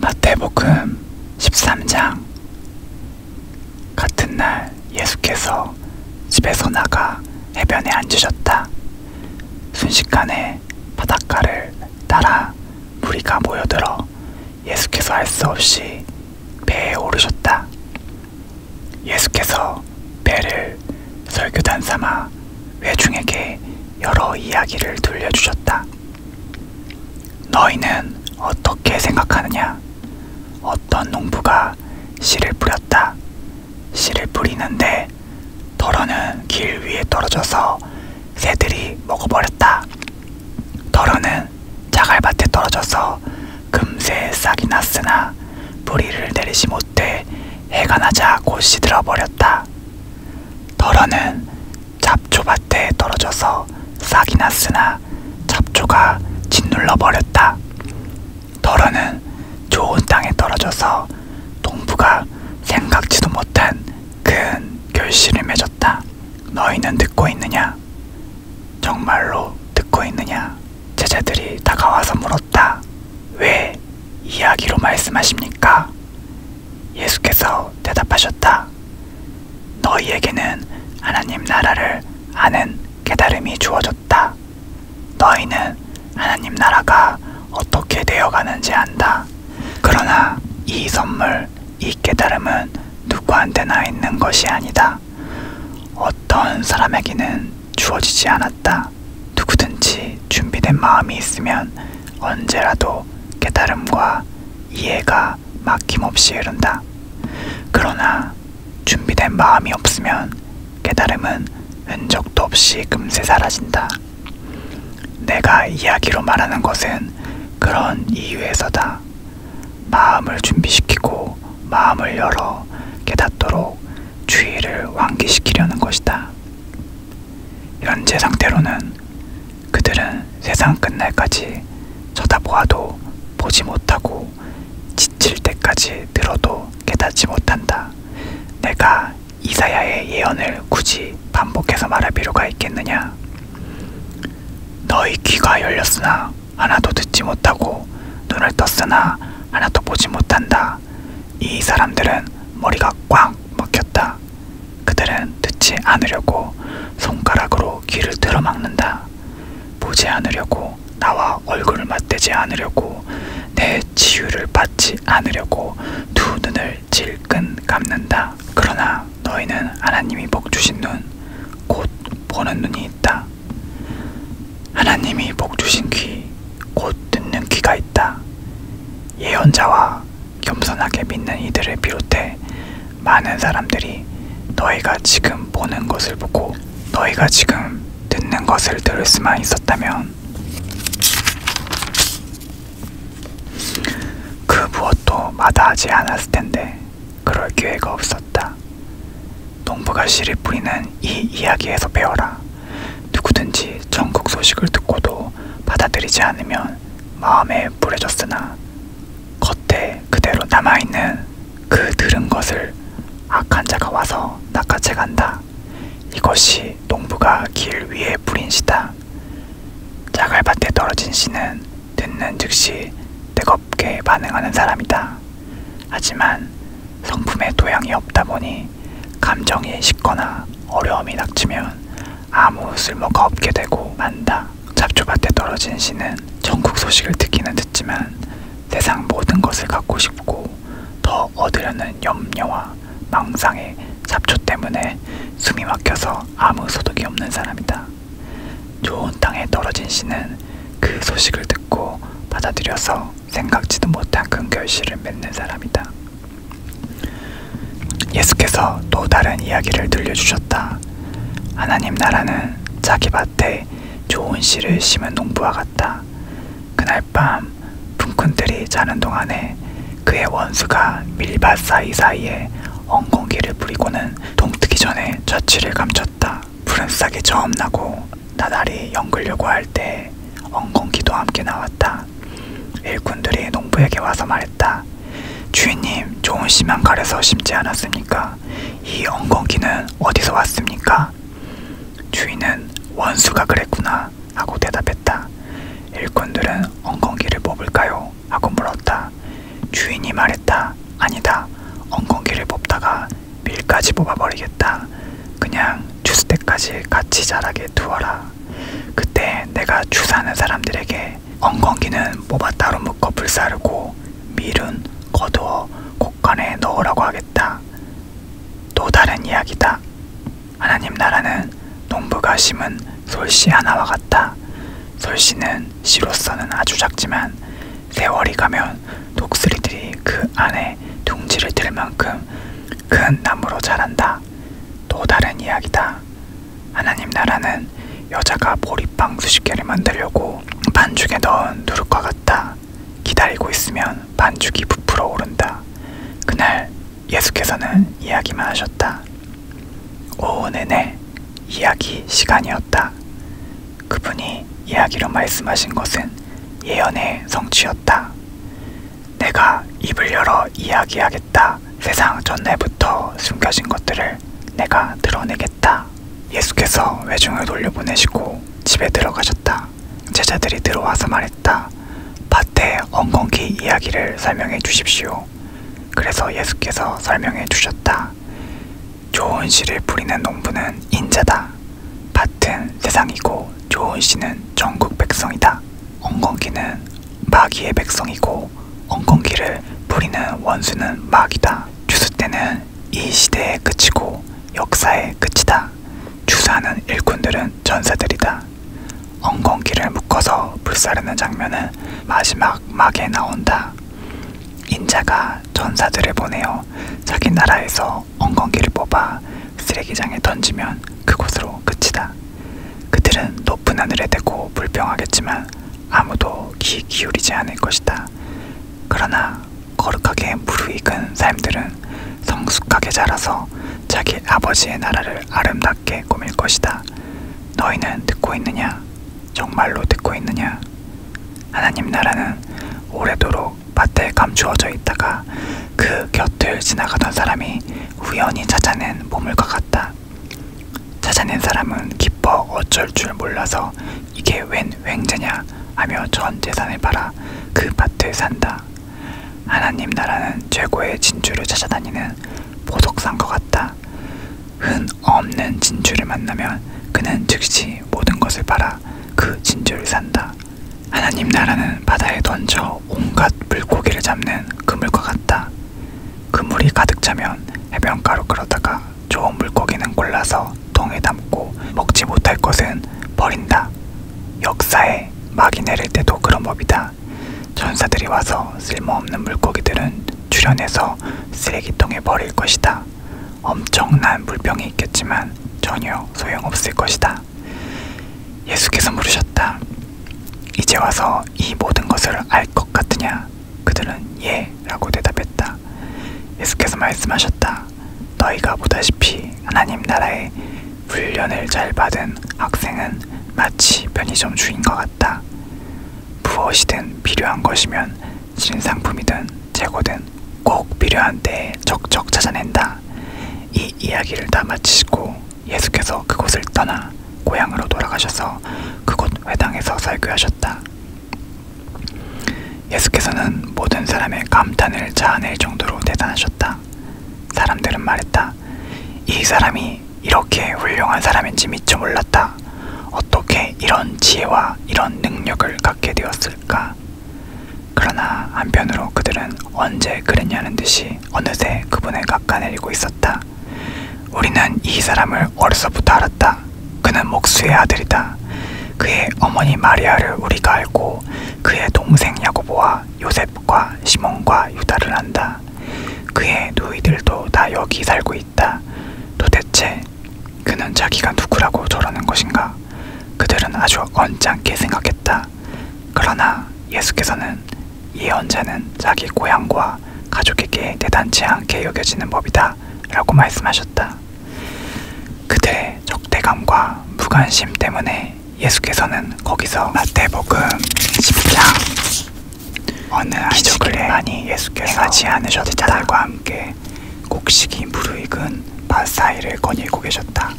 마태복음 13장 같은 날 예수께서 집에서 나가 해변에 앉으셨다. 순식간에 바닷가를 따라 무리가 모여들어 예수께서 알 수 없이 배에 오르셨다. 예수께서 배를 설교단 삼아 회중에게 여러 이야기를 들려주셨다. 너희는 어떻게 생각하느냐? 어떤 농부가 씨를 뿌렸다. 씨를 뿌리는데 덜어는 길 위에 떨어져서 새들이 먹어버렸다. 덜어는 자갈밭에 떨어져서 금세 싹이 났으나 뿌리를 내리지 못해 해가 나자 곧 시들어 버렸다. 덜어는 잡초밭에 떨어져서 싹이 났으나 잡초가 짓눌러 버렸다. 더러는 좋은 땅에 떨어져서 농부가 생각지도 못한 큰 결실을 맺었다. 너희는 듣고 있느냐? 정말로 듣고 있느냐? 제자들이 다가와서 물었다. 왜 이야기로 말씀하십니까? 예수께서 대답하셨다. 너희에게는 하나님 나라를 아는 깨달음이 주어졌다. 너희는 하나님 나라가 어떻게 되어가는지 안다. 그러나 이 선물, 이 깨달음은 누구한테나 있는 것이 아니다. 어떤 사람에게는 주어지지 않았다. 누구든지 준비된 마음이 있으면 언제라도 깨달음과 이해가 막힘없이 흐른다. 그러나 준비된 마음이 없으면 깨달음은 흔적도 없이 금세 사라진다. 내가 이야기로 말하는 것은 그런 이유에서다. 마음을 준비시키고 마음을 열어 깨닫도록 주의를 환기시키려는 것이다. 현재 상태로는 그들은 세상 끝날까지 쳐다보아도 보지 못하고 지칠 때까지 들어도 깨닫지 못한다. 내가 이사야의 예언을 굳이 반복해서 말할 필요가 있겠느냐? 너희 귀가 열렸으나 하나도 듣지 못하고 눈을 떴으나 하나도 보지 못한다. 이 사람들은 머리가 꽉 막혔다. 그들은 듣지 않으려고 손가락으로 귀를 틀어막는다. 보지 않으려고 나와 얼굴을 맞대지 않으려고 내 치유를 받지 않으려고 두 눈을 질끈 감는다. 그러나 너희는 하나님이 복 주신 눈, 곧 보는 눈이 있다. 하나님이 복 주신 귀, 곧 듣는 귀가 있다. 예언자와 겸손하게 믿는 이들을 비롯해 많은 사람들이 너희가 지금 보는 것을 보고 너희가 지금 듣는 것을 들을 수만 있었다면 그 무엇도 마다하지 않았을 텐데 그럴 기회가 없었다. 농부가 씨를 뿌리는 이 이야기에서 배워라. 누구든지 전국 소식을 듣고도 받아들이지 않으면 다 마음에 뿌려졌으나 겉에 그대로 남아있는 그 들은 것을 악한 자가 와서 낚아채 간다. 이것이 농부가 길 위에 뿌린 씨다. 자갈밭에 떨어진 씨는 듣는 즉시 뜨겁게 반응하는 사람이다. 하지만 성품에 도양이 없다 보니 감정이 식거나 어려움이 닥치면 아무 쓸모가 없게 되고 만다. 잡초밭에 떨어진 씨는 전국 소식을 듣기는 듣지만 세상 모든 것을 갖고 싶고 더 얻으려는 염려와 망상에 잡초 때문에 숨이 막혀서 아무 소득이 없는 사람이다. 좋은 땅에 떨어진 씨는 그 소식을 듣고 받아들여서 생각지도 못한 큰 결실을 맺는 사람이다. 예수께서 또 다른 이야기를 들려주셨다. 하나님 나라는 자기 밭에 좋은 씨를 심은 농부와 같다. 그날 밤 풍꾼들이 자는 동안에 그의 원수가 밀밭 사이사이에 엉겅기를 뿌리고는 동트기 전에 좌치를 감췄다. 푸른싹이 저음나고 나날이 연글려고 할 때 엉겅기도 함께 나왔다. 일꾼들이 농부에게 와서 말했다. 주인님, 좋은 씨만 가려서 심지 않았습니까? 이 엉겅기는 어디서 왔습니까? 주인은 원수가 그랬구나 하고 대답했다. 일꾼들은 엉겅기를 뽑을까요? 하고 물었다. 주인이 말했다. 아니다. 엉겅기를 뽑다가 밀까지 뽑아버리겠다. 그냥 주스대까지 같이 자라게 두어라. 그때 내가 주사하는 사람들에게 엉겅기는 모바 따로 묶어 불사르고 밀은 거두어 곡간에 넣으라고 하겠다. 또 다른 이야기다. 하나님 나라는 농부가 심은 솔씨 하나와 같다. 솔씨는 씨로서는 아주 작지만 세월이 가면 독수리들이 그 안에 둥지를 들 만큼 큰 나무로 자란다. 이야기가 또 다른 이야기다. 하나님 나라는 여자가 보리빵 수십 개를 만들려고 반죽에 넣은 누룩과 같다. 기다리고 있으면 반죽이 부풀어 오른다. 그날 예수께서는 이야기만 하셨다. 오후 내내 이야기 시간이었다. 그분이 이야기로 말씀하신 것은 예언의 성취였다. 내가 입을 열어 이야기하겠다. 세상 전날부터 숨겨진 것들을 내가 드러내겠다. 예수께서 외중을 돌려보내시고 집에 들어가셨다. 제자들이 들어와서 말했다. 밭에 엉겅기 이야기를 설명해 주십시오. 그래서 예수께서 설명해 주셨다. 좋은 씨를 뿌리는 농부는 인자다. 밭은 세상이고 좋은 씨는 전국 백성이다. 엉겅기는 마귀의 백성이고 엉겅기를 부리는 원수는 마귀다. 주스 때는 이 시대의 끝이고 역사의 끝이다. 주사는 일꾼들은 전사들이다. 엉겅기를 묶어서 불사르는 장면은 마지막 막에 나온다. 인자가 전사들을 보내어 자기 나라에서 엉겅기를 뽑아 쓰레기장에 던지면 그곳으로 끝이다. 그들은 높은 하늘에 대고 불평하겠지만 아무도 귀 기울이지 않을 것이다. 그러나 거룩하게 무르익은 삶들은 성숙하게 자라서 자기 아버지의 나라를 아름답게 꾸밀 것이다. 너희는 듣고 있느냐? 정말로 듣고 있느냐? 하나님 나라는 오래도록 밭에 감추어져 있다가 그 곁을 지나가던 사람이 우연히 찾아낸 보물과 같다. 찾아낸 사람은 기뻐 어쩔 줄 몰라서 이게 웬 횡재냐 하며 전 재산을 팔아 그 밭을 산다. 하나님 나라는 최고의 진주를 찾아다니는 보석상과 같다. 흔 없는 진주를 만나면 그는 즉시 모든 것을 팔아 그 진주를 산다. 하나님 나라는 바다에 던져 온갖 물고기를 잡는 그물과 같다. 그물이 가득 차면 해변가로 끌어다가 좋은 물고기는 골라서 통에 담고 먹지 못할 것은 버린다. 역사에 막이 내릴 때도 그런 법이다. 전사들이 와서 쓸모없는 물고기들은 출현해서 쓰레기통에 버릴 것이다. 엄청난 물병이 있겠지만 전혀 소용없을 것이다. 말하니라. 예수께서 물으셨다. 이제 와서 이 모든 것을 알 것 같으냐? 그들은 예 라고 대답했다. 예수께서 말씀하셨다. 너희가 보다시피 하나님 나라에 훈련을 잘 받은 학생은 마치 편의점 주인과 같다. 무엇이든 필요한 것이면 신상품이든 재고든 꼭 필요한 때에 적적 찾아낸다. 이 이야기를 다 마치시고 예수께서 그곳을 떠나 고향으로 돌아가셔서 그곳 회당에서 설교하셨다. 예수께서는 모든 사람의 감탄을 자아낼 정도로 대단하셨다. 사람들은 말했다. 이 사람이 이렇게 훌륭한 사람인지 미처 몰랐다. 어떻게 이런 지혜와 이런 능력을 갖게 되었을까? 그러나 한편으로 그들은 언제 그랬냐는 듯이 어느새 그분을 깎아내리고 있었다. 우리는 이 사람을 어려서부터 알았다. 그는 목수의 아들이다. 그의 어머니 마리아를 우리가 알고 그의 동생 야고보와 요셉과 시몬과 유다를 안다. 그의 누이들도 다 여기 살고 있다. 도대체 그는 자기가 누구라고 저러는 것인가? 그들은 아주 언짢게 생각했다. 그러나 예수께서는 예언자는 자기 고향과 가족에게 대단치 않게 여겨지는 법이다 라고 말씀하셨다. 그들의 적대감과 무관심 때문에 예수께서는 거기서 마태복음 10장 어느 기적을 많이 예수께서 행하지 않으셨다. 제자들과 함께 곡식이 무르익은 바사이를 거닐고 계셨다.